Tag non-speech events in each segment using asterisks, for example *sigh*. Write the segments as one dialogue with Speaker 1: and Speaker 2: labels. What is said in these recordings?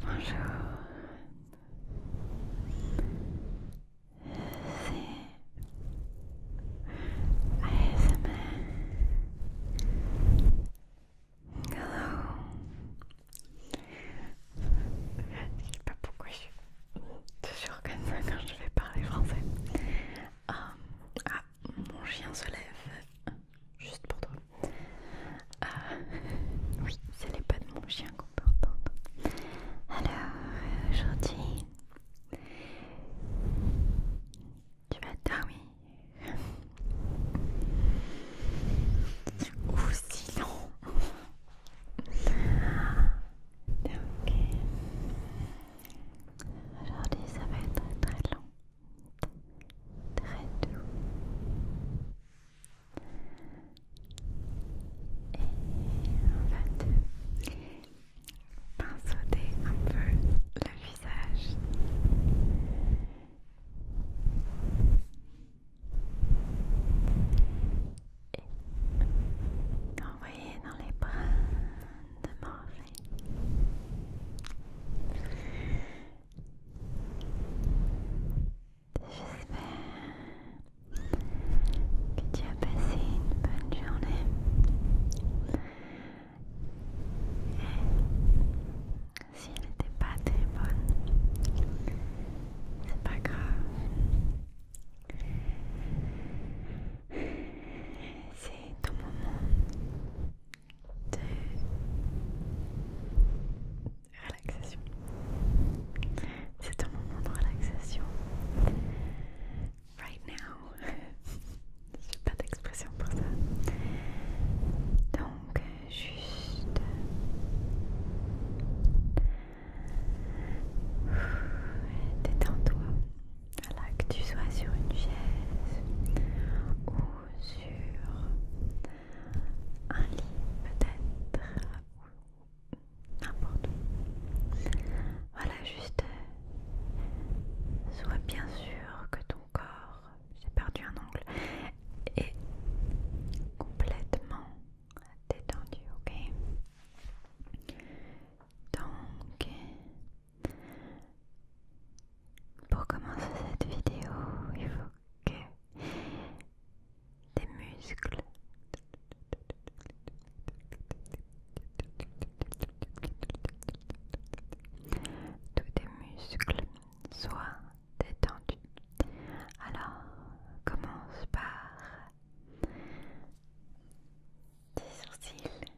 Speaker 1: Bonjour, c'est ASMR. Hello. Je sais pas pourquoi je suis toujours comme ça quand je vais parler français. Euh, ah, mon chien se lève juste pour toi. Ah, *laughs* oui, c'est les pas de mon chien qu'on peut entendre. Alors, aujourd'hui, tu vas dormir. Ou long *laughs* Donc, aujourd'hui, ça va être très long très doux et on va te pinceauter un peu le visage et t'envoyer dans les bras de Morphée. J'espère que tu as passé une bonne journée. si elle n'était pas très bonne, c'est pas grave. C'est ton moment de relaxation. C'est un moment de relaxation. Right now. *laughs* J'ai pas d'expression pour ça. Donc, juste. Détends-toi. Voilà, que tu sois sur une chaise ou sur un lit peut-être ou n'importe où. Voilà, juste sois bien sûr que ton corps, j'ai perdu un angle, est complètement détendu, ok donc, pour commencer cette vidéo, il faut que tes muscles tous tes muscles soient détendus. Alors, commence par tes sourcils.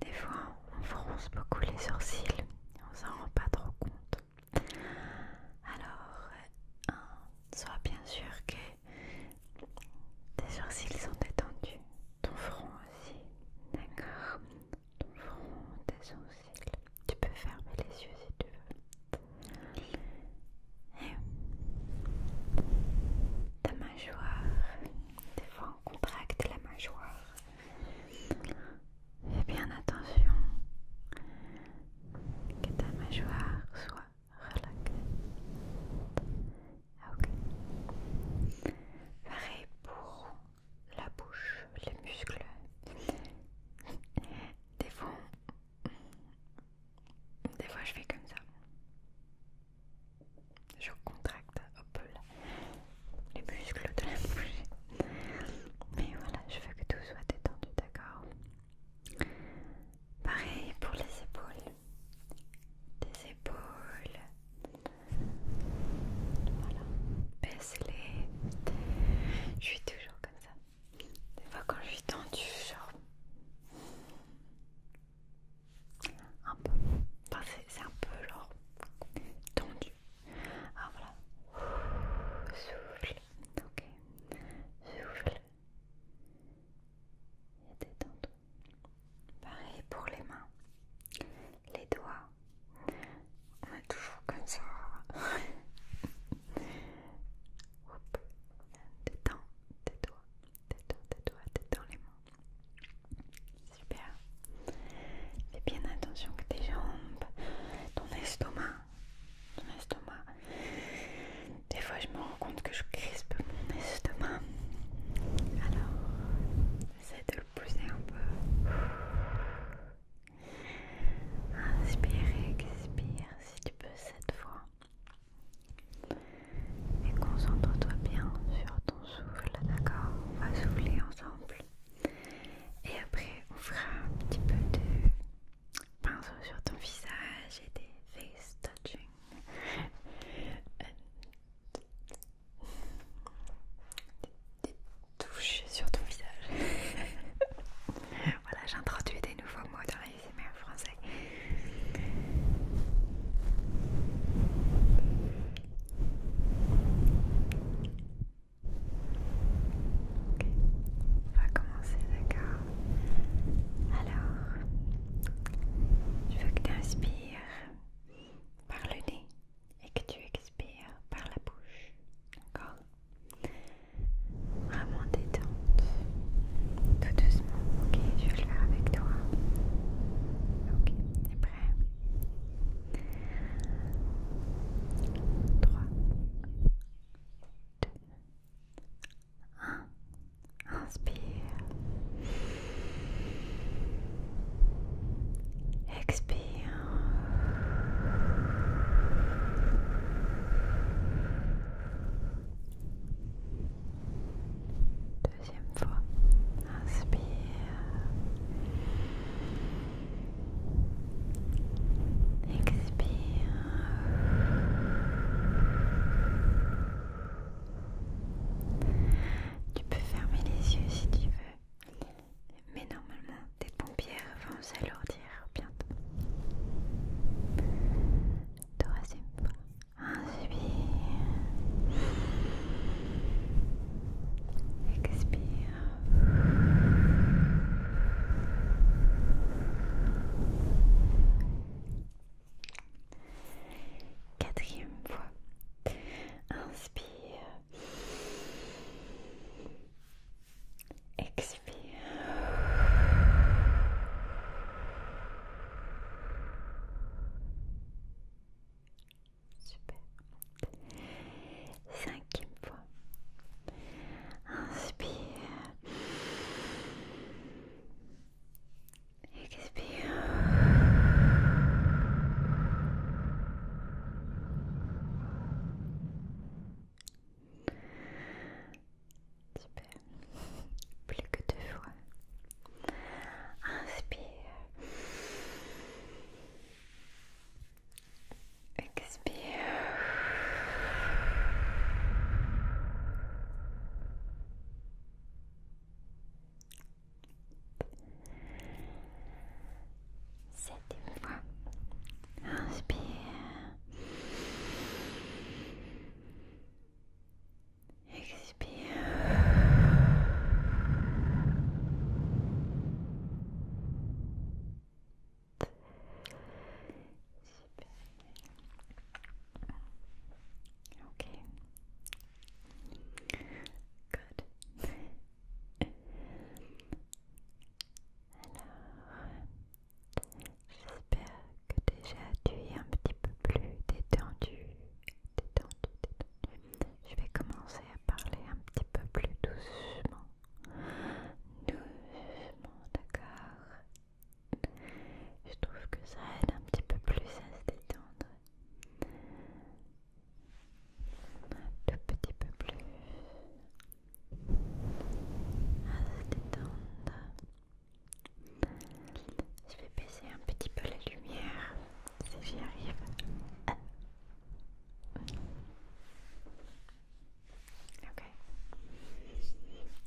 Speaker 1: Des fois, on fronce beaucoup les sourcils, on s'en rend pas trop compte. Alors, euh, sois bien sûr que tes sourcils sont détendus, ton front aussi, d'accord Ton front, tes sourcils, tu peux fermer les yeux si tu veux. ta mâchoire, tes contracte la mâchoire. et bien attention que ta mâchoire soit relaxée. Ok. Pareil pour la bouche, les muscles. Des fois, des fois je fais comme ça. Je contracte les muscles de la *laughs* bouche. Mais voilà, je veux que tout soit détendu, d'accord Pareil pour les épaules. Des épaules. Voilà, baisse-les. Je suis toujours comme ça. Des fois, quand je suis tendue, genre. Un peu. Enfin, c'est un peu genre tendu. Alors ah, voilà. Souffle. Ok. Souffle. Et détends-toi. Pareil pour les mains. Les doigts. On est toujours comme ça. Oups. Détends tes doigts. Détends tes doigts. Détends les mains. Super. Fais bien attention que tes jambes, ton estomac, ton estomac. Des fois, je me rends compte que je crispe mon estomac. Alors, essaie de le pousser un peu. Inspire, expire si tu peux cette fois. Et concentre-toi bien sur ton souffle, d'accord On va souffler ensemble. Et après, on fera un petit peu de pinceau sur ton visage et des face touching. Des, touches sur ton visage. voilà, j'introduis des nouveaux mots dans en français. Ok, on va commencer, d'accord Alors, je veux que tu inspires par le nez et que tu expires par la bouche, d'accord Vraiment détente, tout doucement, ok Je vais le faire avec toi. Ok, t'es prêt 3, 2, 1. Inspire. Expire. Deuxième fois, inspire. Expire. Tu peux fermer les yeux si tu veux, mais normalement tes pompiers vont s'alourdir bientôt. Troisième fois. Inspire. Expire. Quatrième fois. Inspire. Expire. Super. Cinquième fois. Inspire. Expire. Super. Plus que deux fois. Inspire. Expire. Septième fois. Inspire. Expire. Super. ok, Good. Alors, j'espère que déjà tu es un petit peu plus détendu, détendu, détendu. Je vais commencer à parler un petit peu plus doucement. Doucement, d'accord Je trouve que ça aide un petit peu plus à se détendre. Un tout petit peu plus. À se détendre. Je vais baisser un petit peu la lumière si j'y arrive. Ok.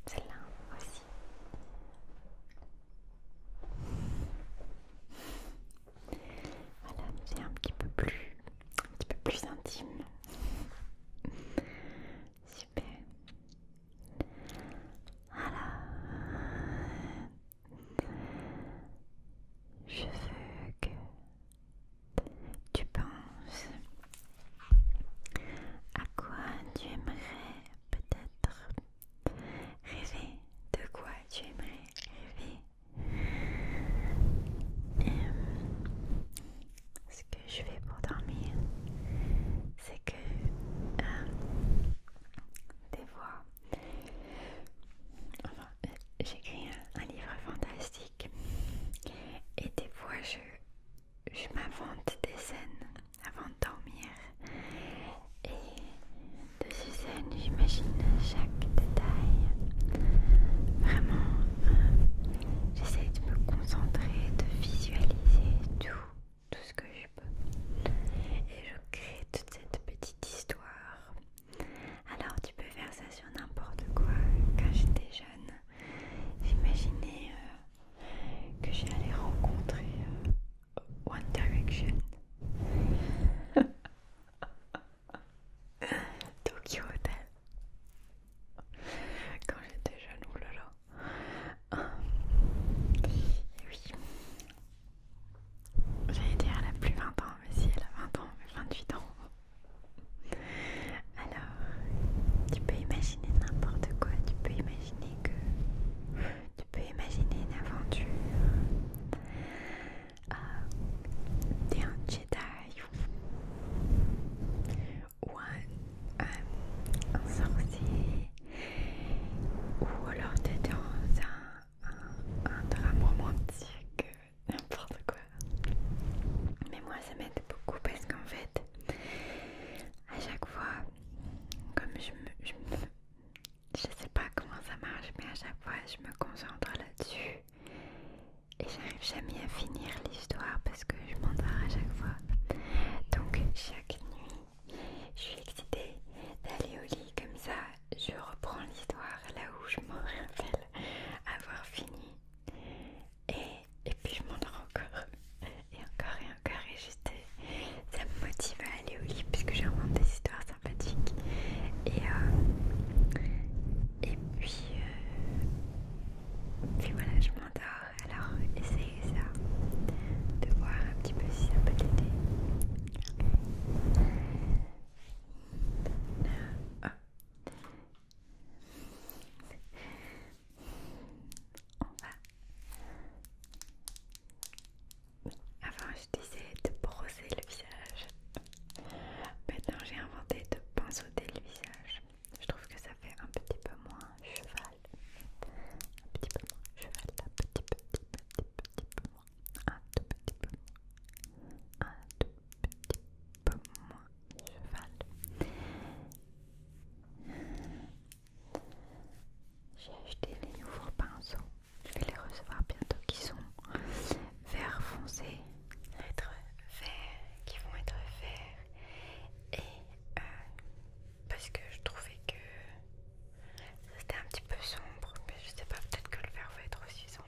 Speaker 1: Celle-là aussi. Voilà, c'est un petit peu plus, un petit peu plus intime. Super. Voilà. Je veux que tu penses à quoi tu aimerais peut-être rêver, de quoi tu aimerais rêver. ce que je fais pour dormir, c'est que euh, des voix euh, j'écris un, livre fantastique et des fois je, je m'invente des scènes avant de dormir et de ces scènes j'imagine chaque détail. Vraiment, euh, j'essaie de me concentrer, de visualiser tout, tout ce que je peux et je crée toute cette petite histoire alors tu peux faire ça sur n'importe quoi. Quand j'étais jeune, j'imaginais euh, que j'allais rencontrer euh, One Direction. *laughs* Tokyo Hotel. Quand j'étais jeune, oulala. Oh oui. J'allais dire elle a plus 20 ans, mais si elle a 20 ans, mais 28 ans. Alors, tu peux imaginer n'importe quoi, tu peux imaginer que... Tu peux imaginer une aventure. Euh, t'es un Jedi ou un, sorcier ou alors t'es dans un, un drame romantique n'importe quoi. Mais moi, ça m'aide beaucoup parce qu'en fait, à chaque fois, comme je me, je sais pas comment ça marche, mais à chaque fois, je me concentre là-dessus et j'arrive jamais à finir l'histoire parce que je m'endors à chaque fois. Donc, chaque nuit, je suis excitée d'aller au lit comme ça, je reprends l'histoire là où je m'en rappelle avoir fini. Et, puis je m'endors encore et encore et encore et juste euh, ça me motive à aller au lit puisque j'ai vraiment des histoires sympathiques et, euh, et puis, puis euh, voilà je m'endors alors essayez ça de voir un petit peu si ça peut t'aider on va... Avant je disais de brosser le visage. Maintenant j'ai inventé de pinceauter le visage. Je trouve que ça fait un petit peu moins cheval. Un petit peu moins cheval. Un petit peu, petit, petit, petit peu un tout petit peu un tout petit peu moins cheval. J'ai acheté les nouveaux pinceaux, je vais les recevoir bientôt, qui sont vert foncé, être vert, qui vont être verts et euh, parce que je trouvais que c'était un petit peu sombre, mais je sais pas, peut-être que le vert va être aussi sombre.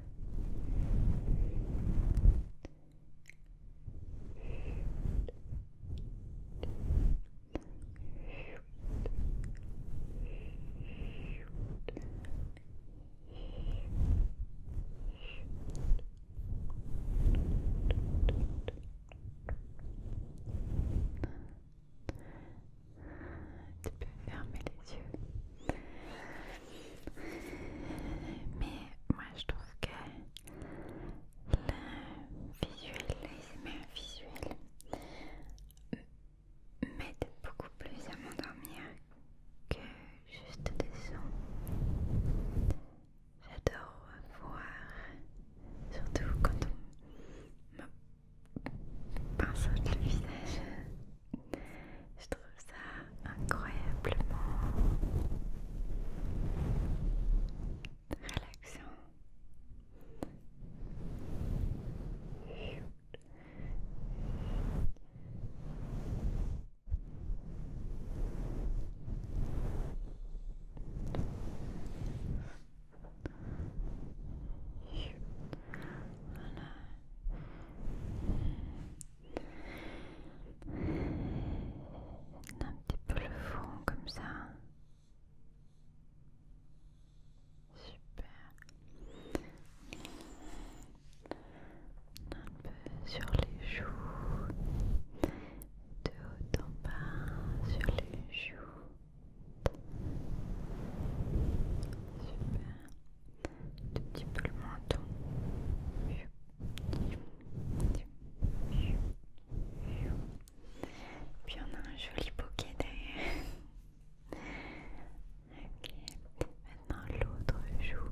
Speaker 1: Tu peux fermer les yeux. Mais moi je trouve que le visuel, les visuel m'aide beaucoup plus à m'endormir que juste des sons. J'adore voir, surtout quand on me pince le visage je trouve ça incroyablement relaxant. Voilà un petit peu le fond comme ça. Super. Un peu sur les joues. De haut en bas sur les joues. Super un petit peu le menton. Puis on a un joli bouquet derrière. Ok, maintenant l'autre joue.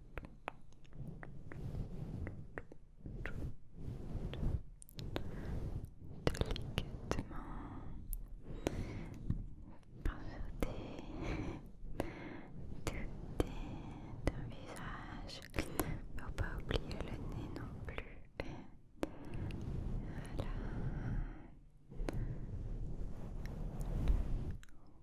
Speaker 1: Délicatement, pas sauter, tout est le visage, faut pas oublier le nez non plus. Voilà.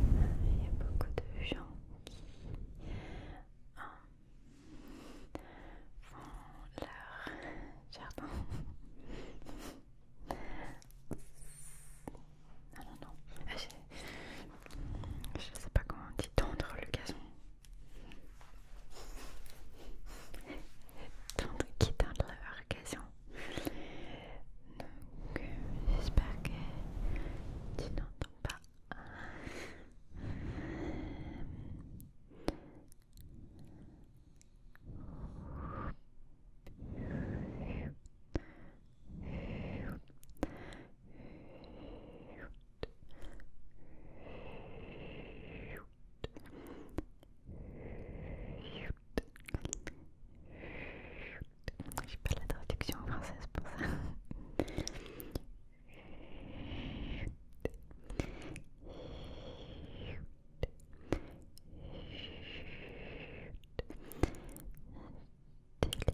Speaker 1: Il y a beaucoup de gens qui font leur jardin. Non, non, non. Je, ne sais pas comment on tendre le gazon. Tant qui perd la occasion. Donc, j'espère que tu n'entends pas. J'ai pas la traduction française pour ça.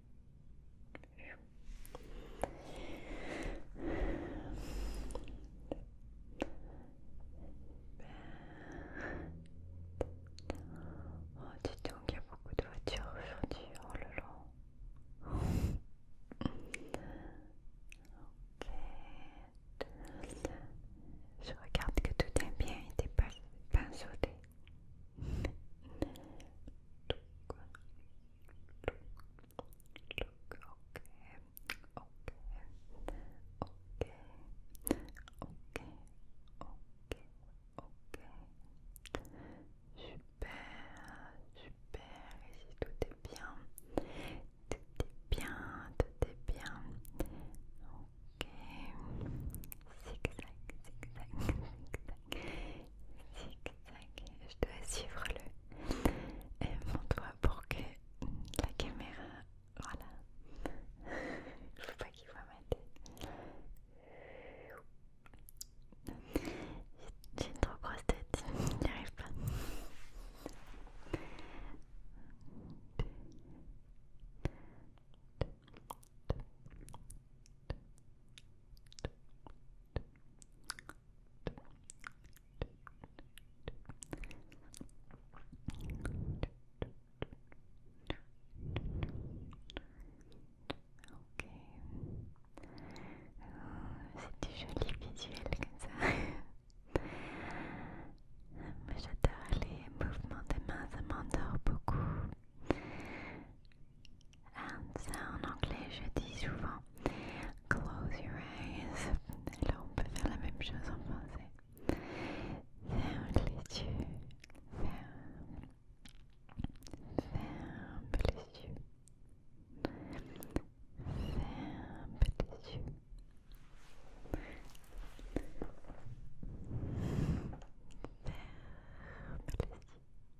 Speaker 1: Oh, dis donc, il y a beaucoup de voitures aujourd'hui. Oh Je regarde que tout est bien et pas, pas sauté ok. ok, ok, ok, ok, ok, Super, super. Et tout est bien, tout est bien, tout est bien. Ok. Zigzag, zigzag, zigzag je dois suivre le euh, mon doigt pour que la caméra. Voilà. ne *laughs* veux pas qu'il voit ma tête. J'ai une trop grosse tête, j'y arrive pas. Ok, oh, c'est du joli visuel comme ça. *laughs* J'adore les mouvements des mains, ça m'endort beaucoup. And en anglais je dis souvent close your eyes. Là on peut faire la même chose en français. Ferme les yeux. Ferme. Ferme les yeux. Ferme les yeux. Ferme les yeux. Ferme les yeux.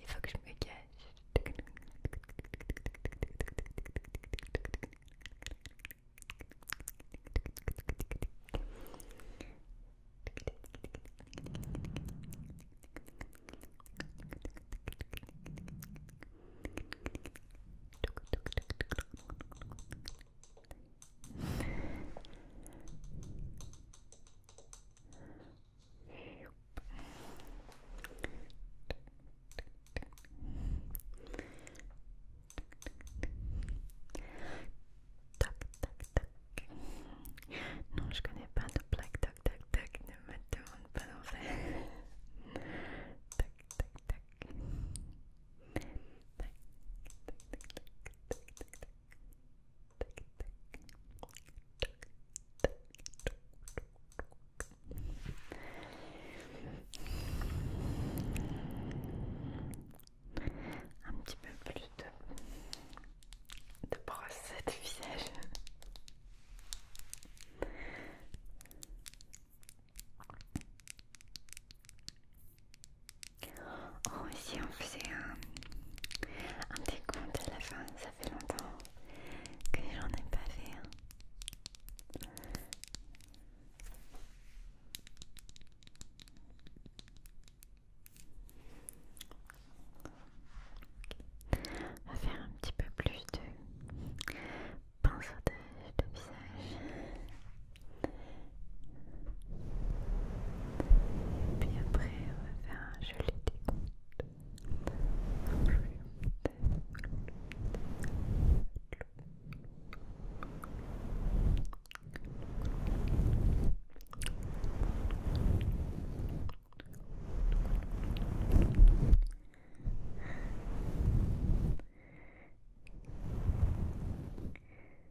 Speaker 1: Il faut que je me cache. Tac, tac, tac. Non, je connais pas de plaque. tac, tac, tac. Ne me demande pas d'en faire. Tac, tac, tac. Un petit peu plus de, de brosse de visage. Oh, si on faisait un, petit compte à la fin, ça fait longtemps que j'en ai pas fait. On va faire un petit peu plus de pinceau de visage. Et puis après, faire un joli décompte.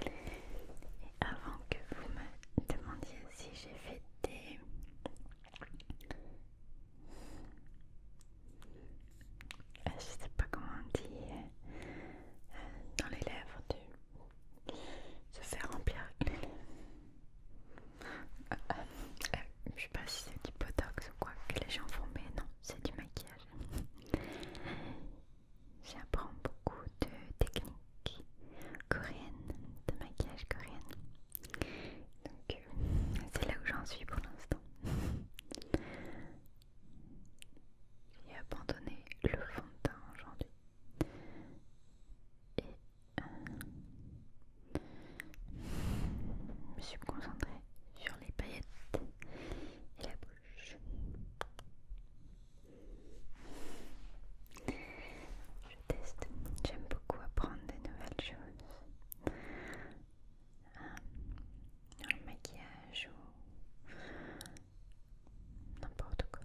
Speaker 1: Et avant que vous me demandiez si j'ai fait des ah, je sais pas comment on dit euh, dans les lèvres de se faire remplir les je sais pas si c'est du botox ou quoi que les gens font, mais non, c'est du maquillage. J'apprends beaucoup de techniques coréennes, de maquillage coréen. Donc euh, c'est là où j'en suis pour l'instant. J'ai abandonné le fond de teint aujourd'hui. Et euh, je me suis concentrée sur les paillettes et la bouche. Je teste, j'aime beaucoup apprendre des nouvelles choses. Dans euh, le maquillage ou n'importe quoi.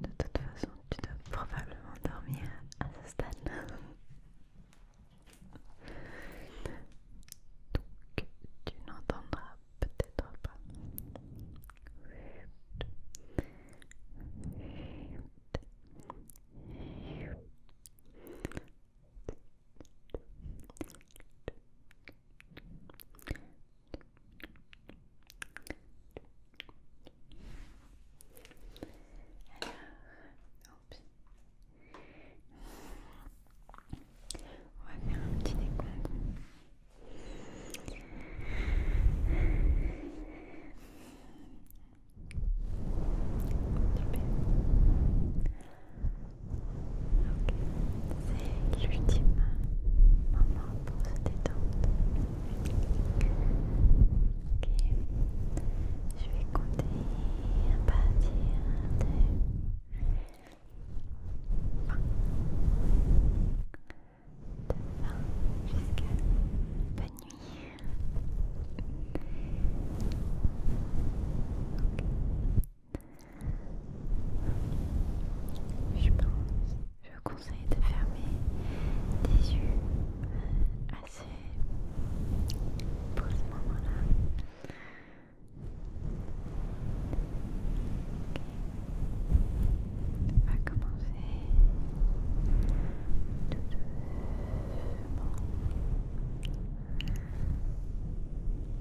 Speaker 1: De toute façon, tu dois probablement dormir à ce stade-là. Donc, tu n'entendras peut-être pas. Alors, On va faire un petit décompte. C'est l'ultime moment pour se détendre. Ok, je vais compter à partir de bonne nuit. Je pense, je conseille de fermer des yeux euh, assez pour ce moment-là. commencer